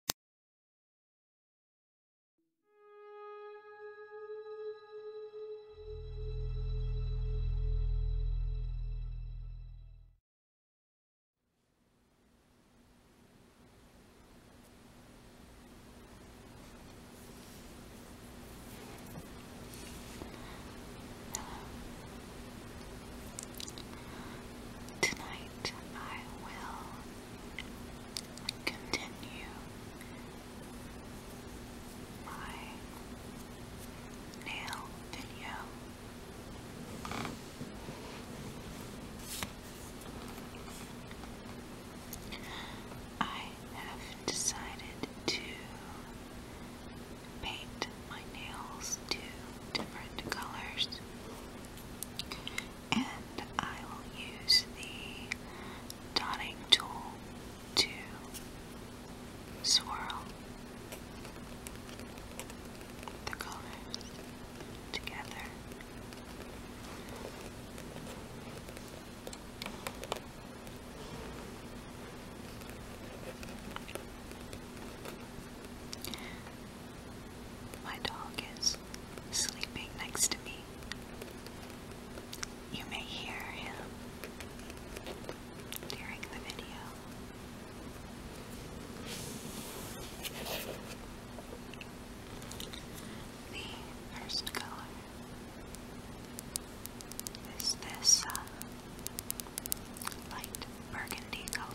Hello. Tonight I will continue my nail video. I have decided to paint my nails two different colors and I will use the dotting tool to swirl the colors together. My dog is sleeping next to me. You may hear him during the video. The first color is this uh, light burgundy color.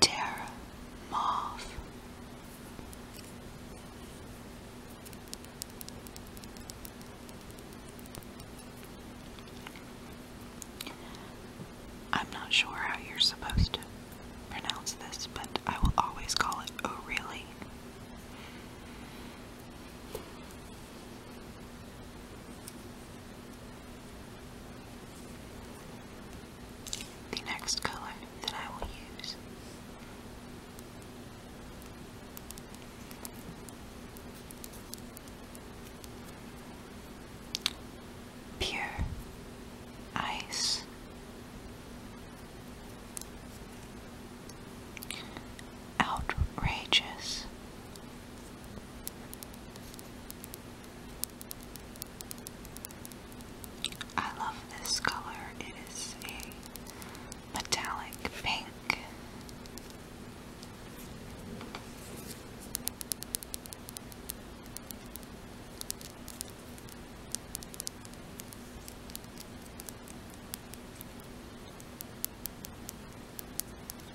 Terra Moth. I'm not sure how you're supposed to pronounce this, but I will always call it Oh Really. The next color that I will use Pure Ice. Outrageous. I love this color. It is a metallic pink.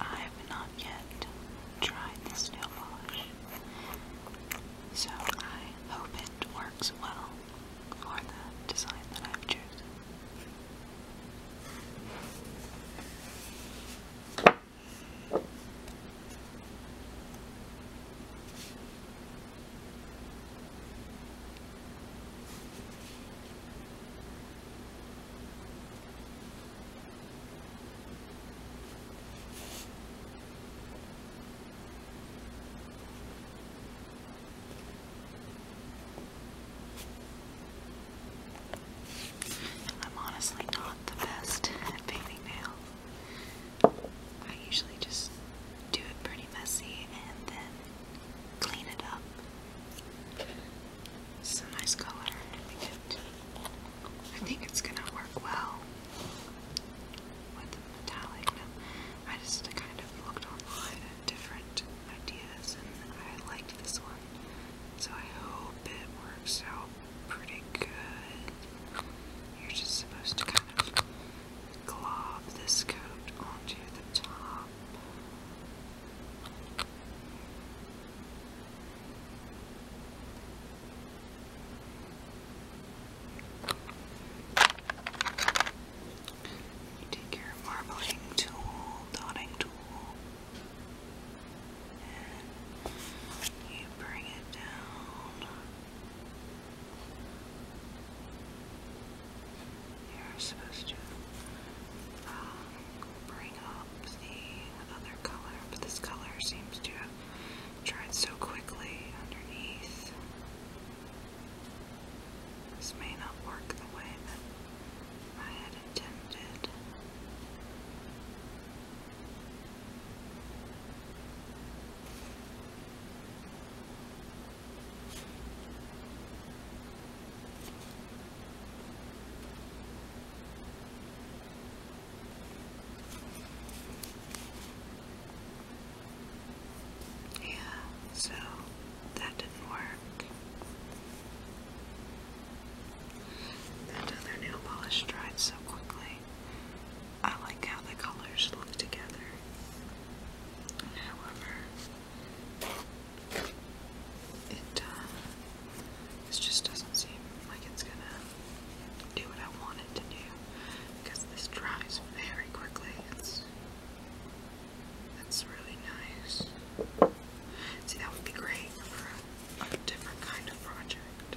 I have not yet tried this nail polish, so I hope it works well for the design that I've I'm honestly not the best at painting nails. I usually just do it pretty messy and then clean it up. It's a nice color. I think, it's gonna work well with the metallic. I just kind of looked online at different ideas and I liked this one. So I hope it works out pretty good. You're just supposed to kind of glob this coat onto the top. You take your marbling tool, dotting tool, and you bring it down. You're supposed to um, bring up the other color, but this color seems to have dried so quickly underneath. This may not work the way that I had intended. Yeah, so that didn't work. That other nail polish dried so quickly. I like how the colors look together. However, it, uh, just doesn't seem like it's gonna do what I want to do because this dries very quickly. It's, that's really nice. See, that would be great for a different kind of project.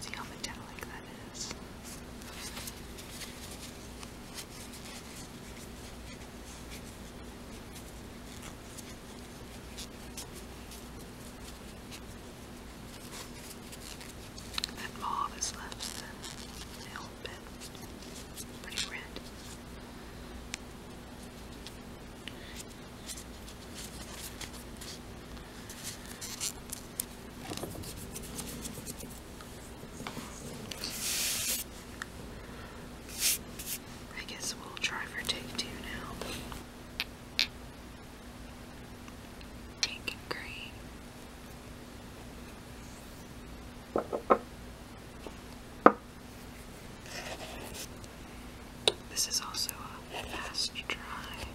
See how metallic that is. That mauve is less a little bit. pretty red. I guess we'll try for take two now. Pink and green. This is also a fast dry.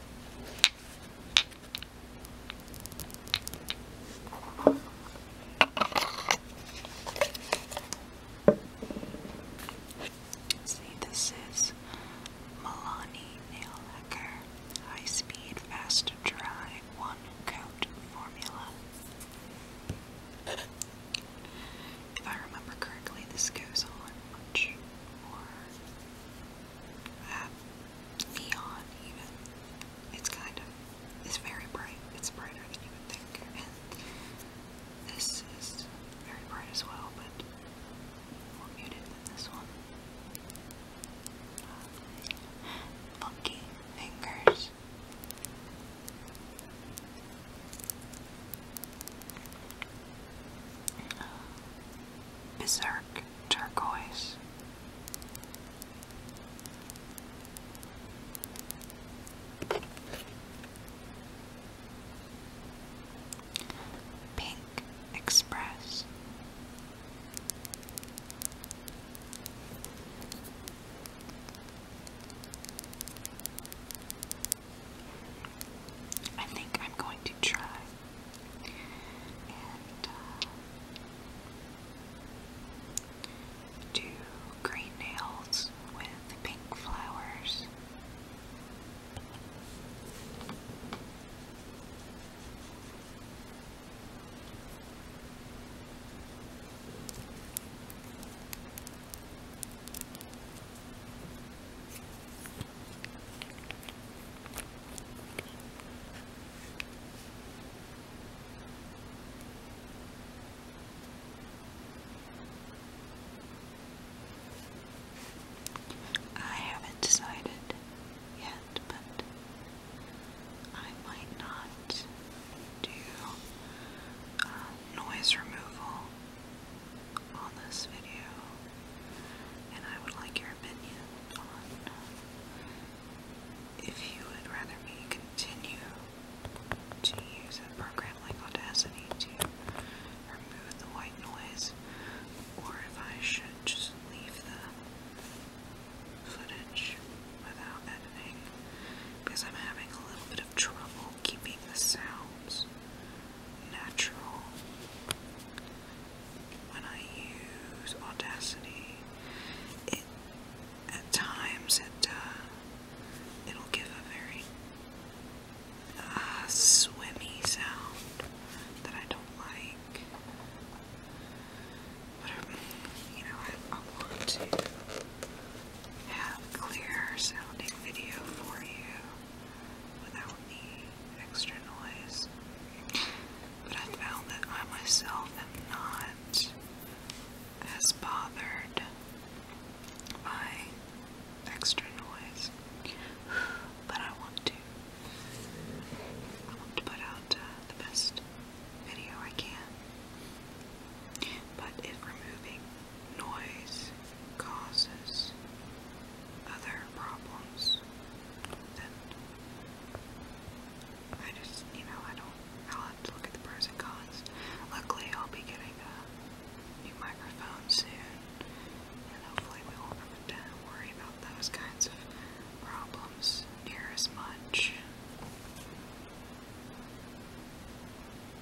this is Milani Nail Lacquer High Speed Fast Dry One Coat Formula. If I remember correctly, this goes on much more uh, neon, It's kind of, it's very bright. It's brighter than you would think. this is very bright as well, but muted this one. Uh, funky fingers. Berserk Turquoise. Pink Express. I think I'm going to try and uh, do green nails with pink flowers. I haven't decided yet, but I might not do uh, noise removal on this video, and I would like your opinion on uh, if you would rather me continue to use a program like Audacity to remove the white noise, or if I should just leave the footage without editing because I'm having a little bit of trouble keeping the sounds natural. When I use Audacity, it at times it uh, it'll give a very uh, swimmy sound that I don't like. But you know, I, I want to have clear sounding video for you without the extra noise. But I found that I myself am not as bothered by extra noise. But I want to. I want to put out uh, the best video I can. But if removing Noise causes other problems that I just, you know, I don't, I'll to look at the pros and Luckily, I'll be getting a new microphone soon, and hopefully, we won't have to worry about those kinds of problems near as much.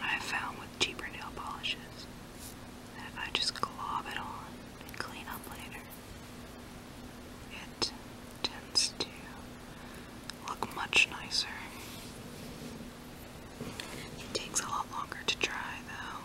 i found with cheaper nail polishes if I just glob it on and clean up later, it tends to look much nicer. It takes a lot longer to dry though.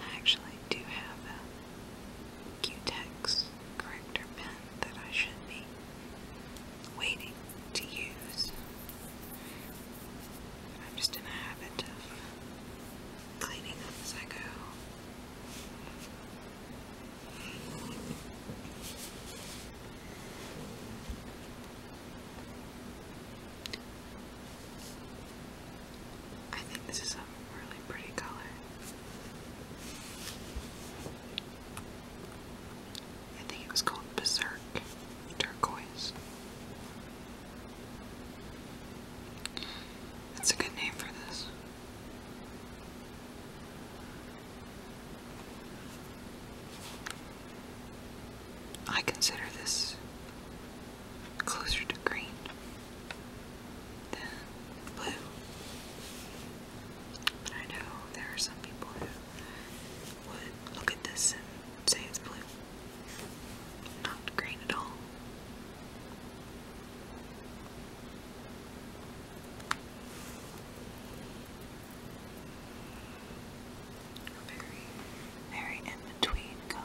I actually do have a Q-Tex corrector pen that I should be waiting to use. I'm just in the habit of cleaning up as I go. I think this is a really pretty color. I think it was called Berserk Turquoise. That's a good name for this. I consider this closer to green than blue. But I know there are some people who would look at this and say it's blue. Not green at all. Very, very in between color.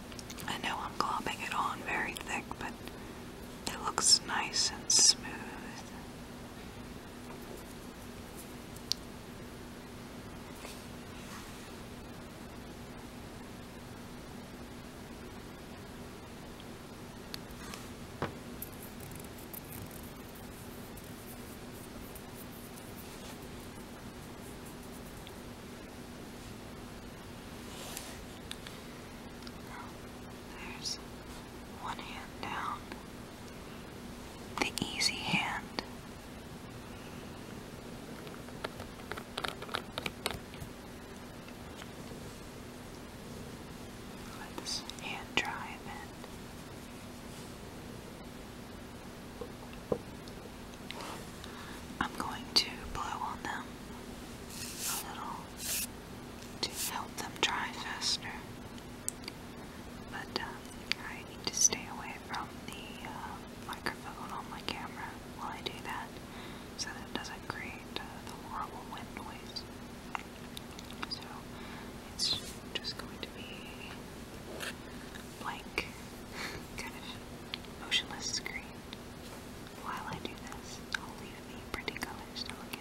I know I'm globbing it on very thick, but it looks nice and smooth. There's one hand down, the easy hand. Let this hand dry a I'm going to blow on them a little to help them dry faster. But uh, I need to stay away from the uh, microphone on my camera while I do that so it doesn't create uh, the horrible wind noise. So it's just going to be blank, kind of motionless screen. While I do this, I'll leave the pretty colors to look at.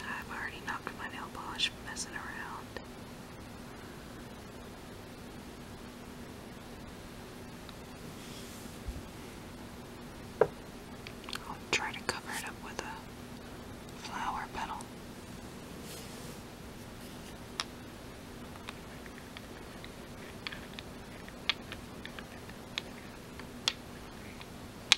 I've already knocked my nail polish messing around. I'll try to cover it up with a flower petal.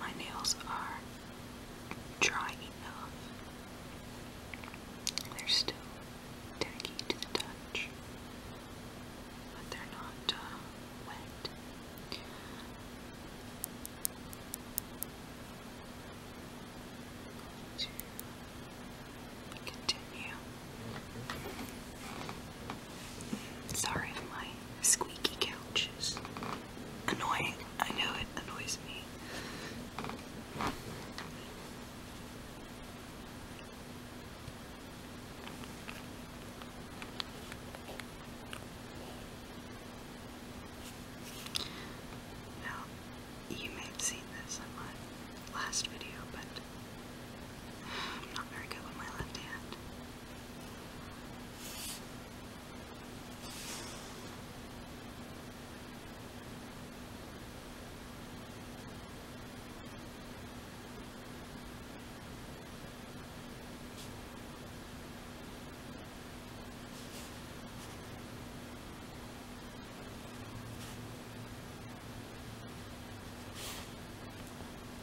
My nails are dry enough. They're still tacky to the touch, but they're not uh, wet. To continue. Sorry, my squeaky couch is annoying. I know it annoys me. Now, you may have seen this in my last video, but I'm not very good with my left hand.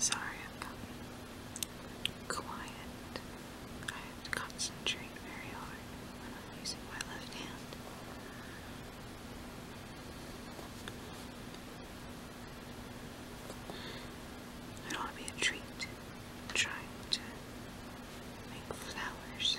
Sorry, I've quiet. I to concentrate very hard when I'm using my left hand. I do be a treat trying to make flowers.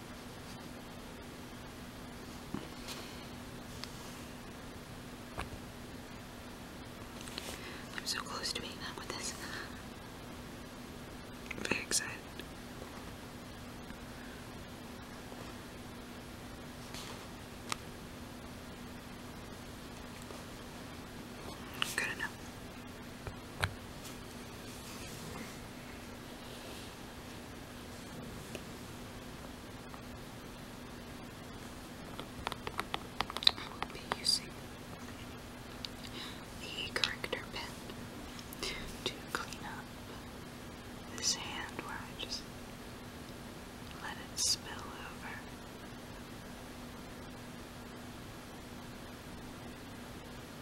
I'm so close to being done with this. I'm very excited. Good enough. I will be using the corrector pen to clean up this hand where I just let it spill over.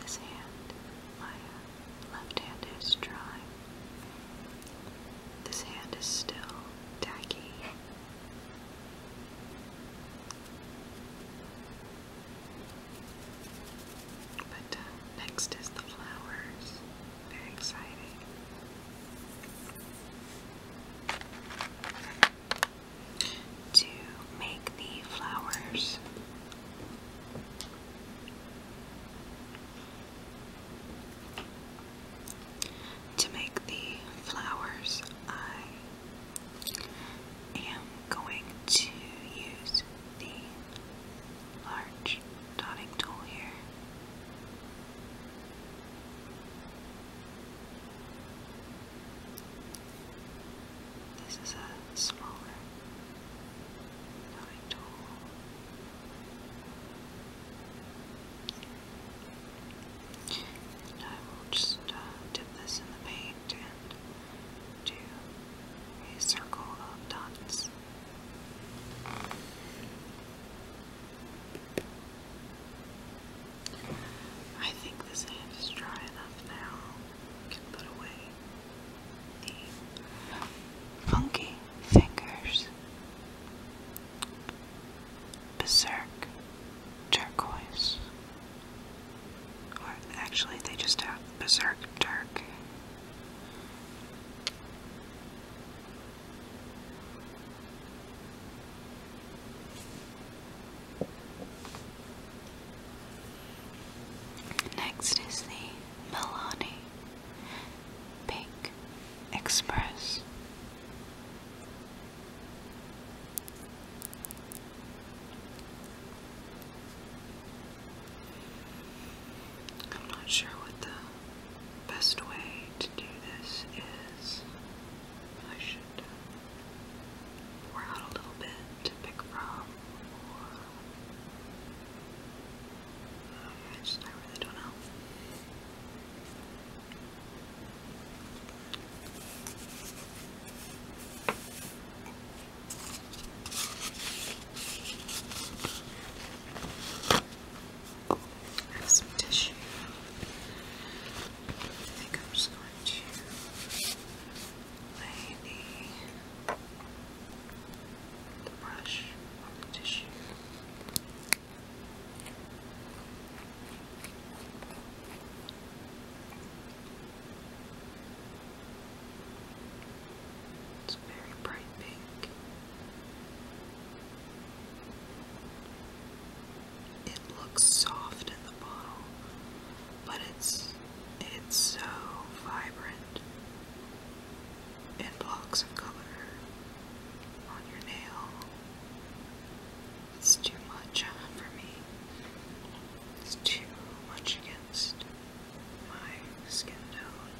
This hand, my left hand is dry. This hand is still tacky. But uh, next is the flowers. Very exciting. To make the flowers, to make the flowers, I am going to use the large dotting tool here. This is a smaller dotting tool. I will just uh, dip this in the paint and do a circle of dots. I think this hand is dry enough now. can put away the funky fingers. Berserk turquoise. Or actually, they just have Berserk dark. Next is the Milani Pink Express. I'm not sure what the best way to do this is. I should uh, pour out a little bit to pick from, or I just I really don't know. Have some tissue. I think I'm just going to lay the, brush on the tissue. It's very bright pink. It looks soft in the bottle, but it's it's so vibrant in blocks of color on your nail. It's too much uh, for me. It's too much against my skin tone.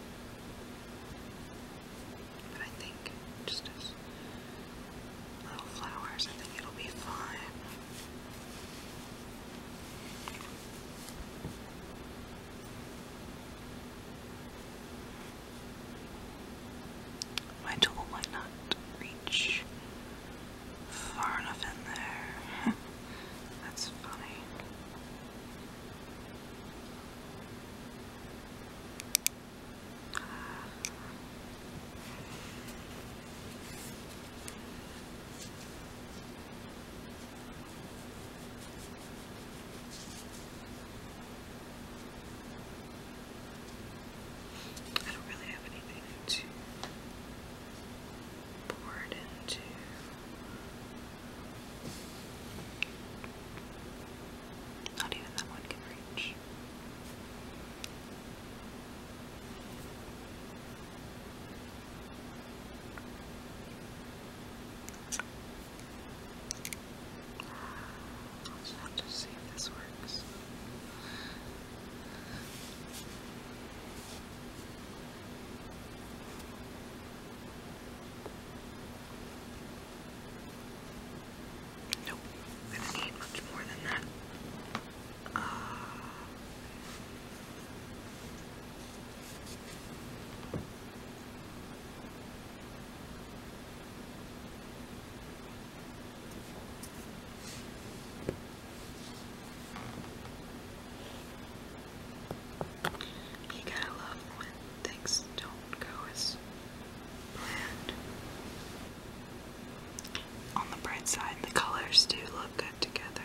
But I think just as little flowers, I think it'll be fine. My tool might not reach far enough in there. That's funny. I don't really have anything to board into. Not even that one can reach. I'll just to see if this works. Nope, I'm going need much more than that. Uh, you gotta love when things don't go as planned. On the bright side, the colors do look good together.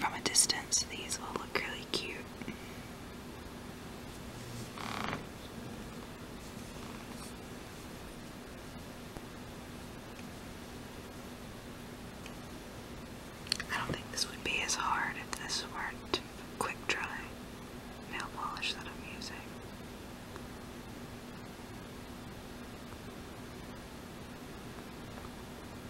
From a distance, these will look really really cute. I don't think this would be as hard if this weren't quick dry nail polish that I'm using.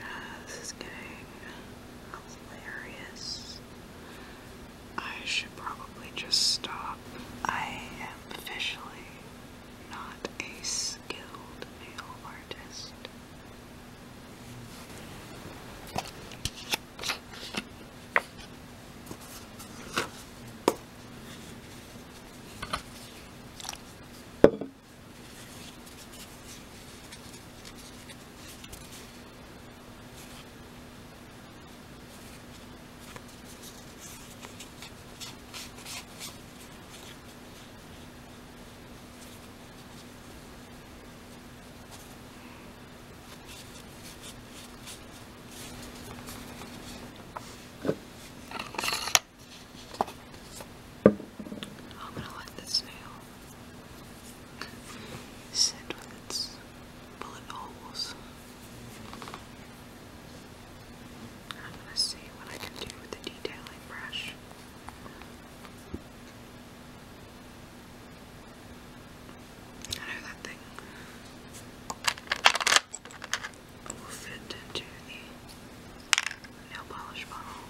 Ah, this is getting hilarious. I should probably just stop. I am officially not a skilled male artist. I'm gonna let this nail sit with its bullet holes. I'm gonna see what I can do with the detailing brush. I know that thing will fit into the nail polish bottle.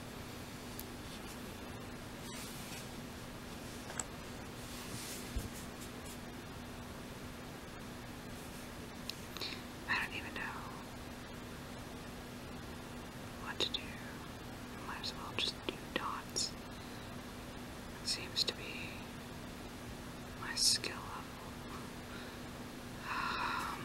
I don't even know what to do. might as well just do dots. seems to be my skill level. Um,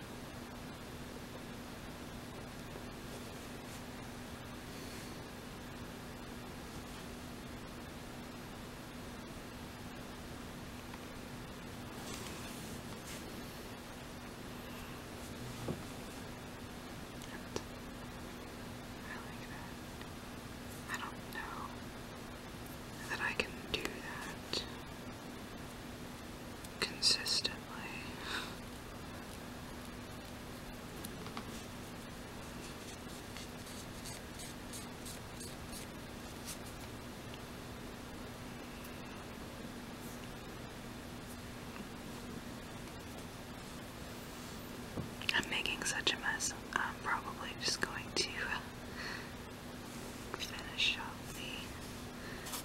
I like don't know that I can do that consistently. I'm making such a mess. I'm probably just going to finish up the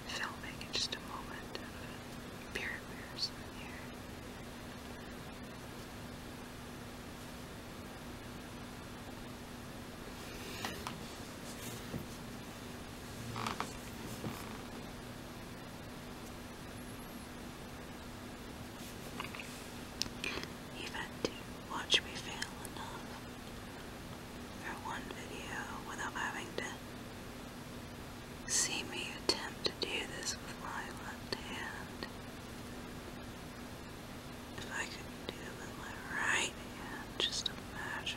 filming in just a moment of beer here. Even watch me fail for one video without having to see me attempt to do this with my left hand. If I could do it with my right hand, just imagine.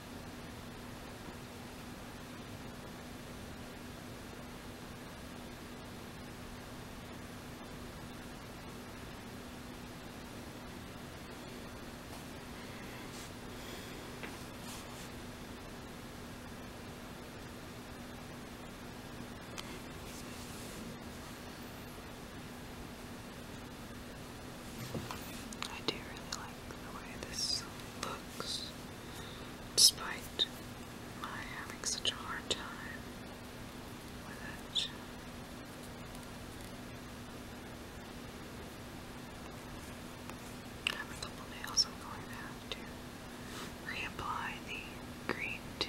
I do really like the way this looks, despite my having such a hard time with it. I couple nails I'm going to reapply the green to.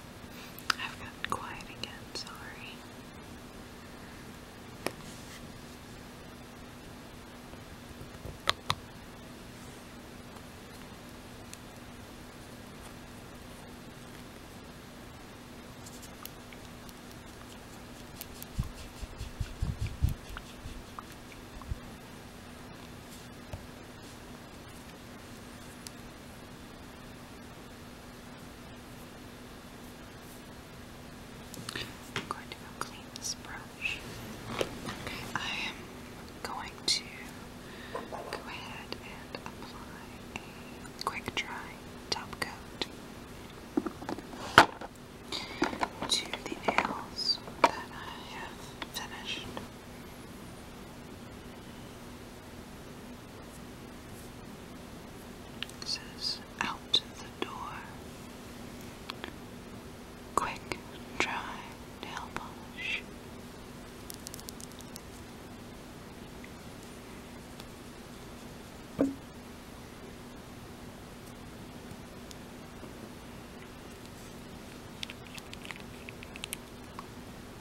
I've gotten quiet again, sorry. I'm going to go clean this brush. Okay, I am going to go ahead and apply a quick dry top coat to the nails that I have finished. This is out the door. Quick, dry nail polish.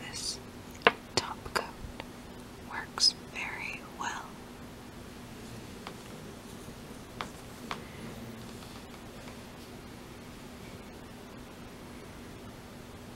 This top coat works very well.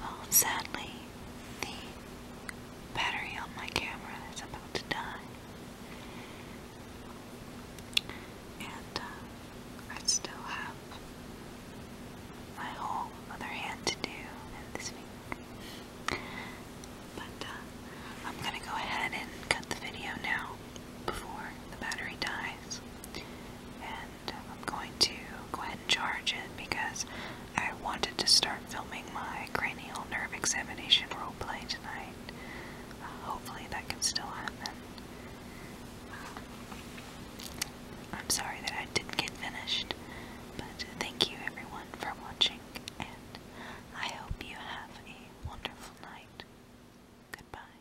Well, sadly, the battery on my camera is about to die. And uh, I still have my whole other hand to do But uh, I'm gonna go ahead and cut the video now before the battery dies. And I'm going to go ahead and charge it because I wanted to start filming my cranial nerve examination roleplay tonight. Uh, hopefully that can still happen. Uh, I'm sorry that I didn't get finished, but thank you everyone for watching, and I hope you have a wonderful night. Goodbye.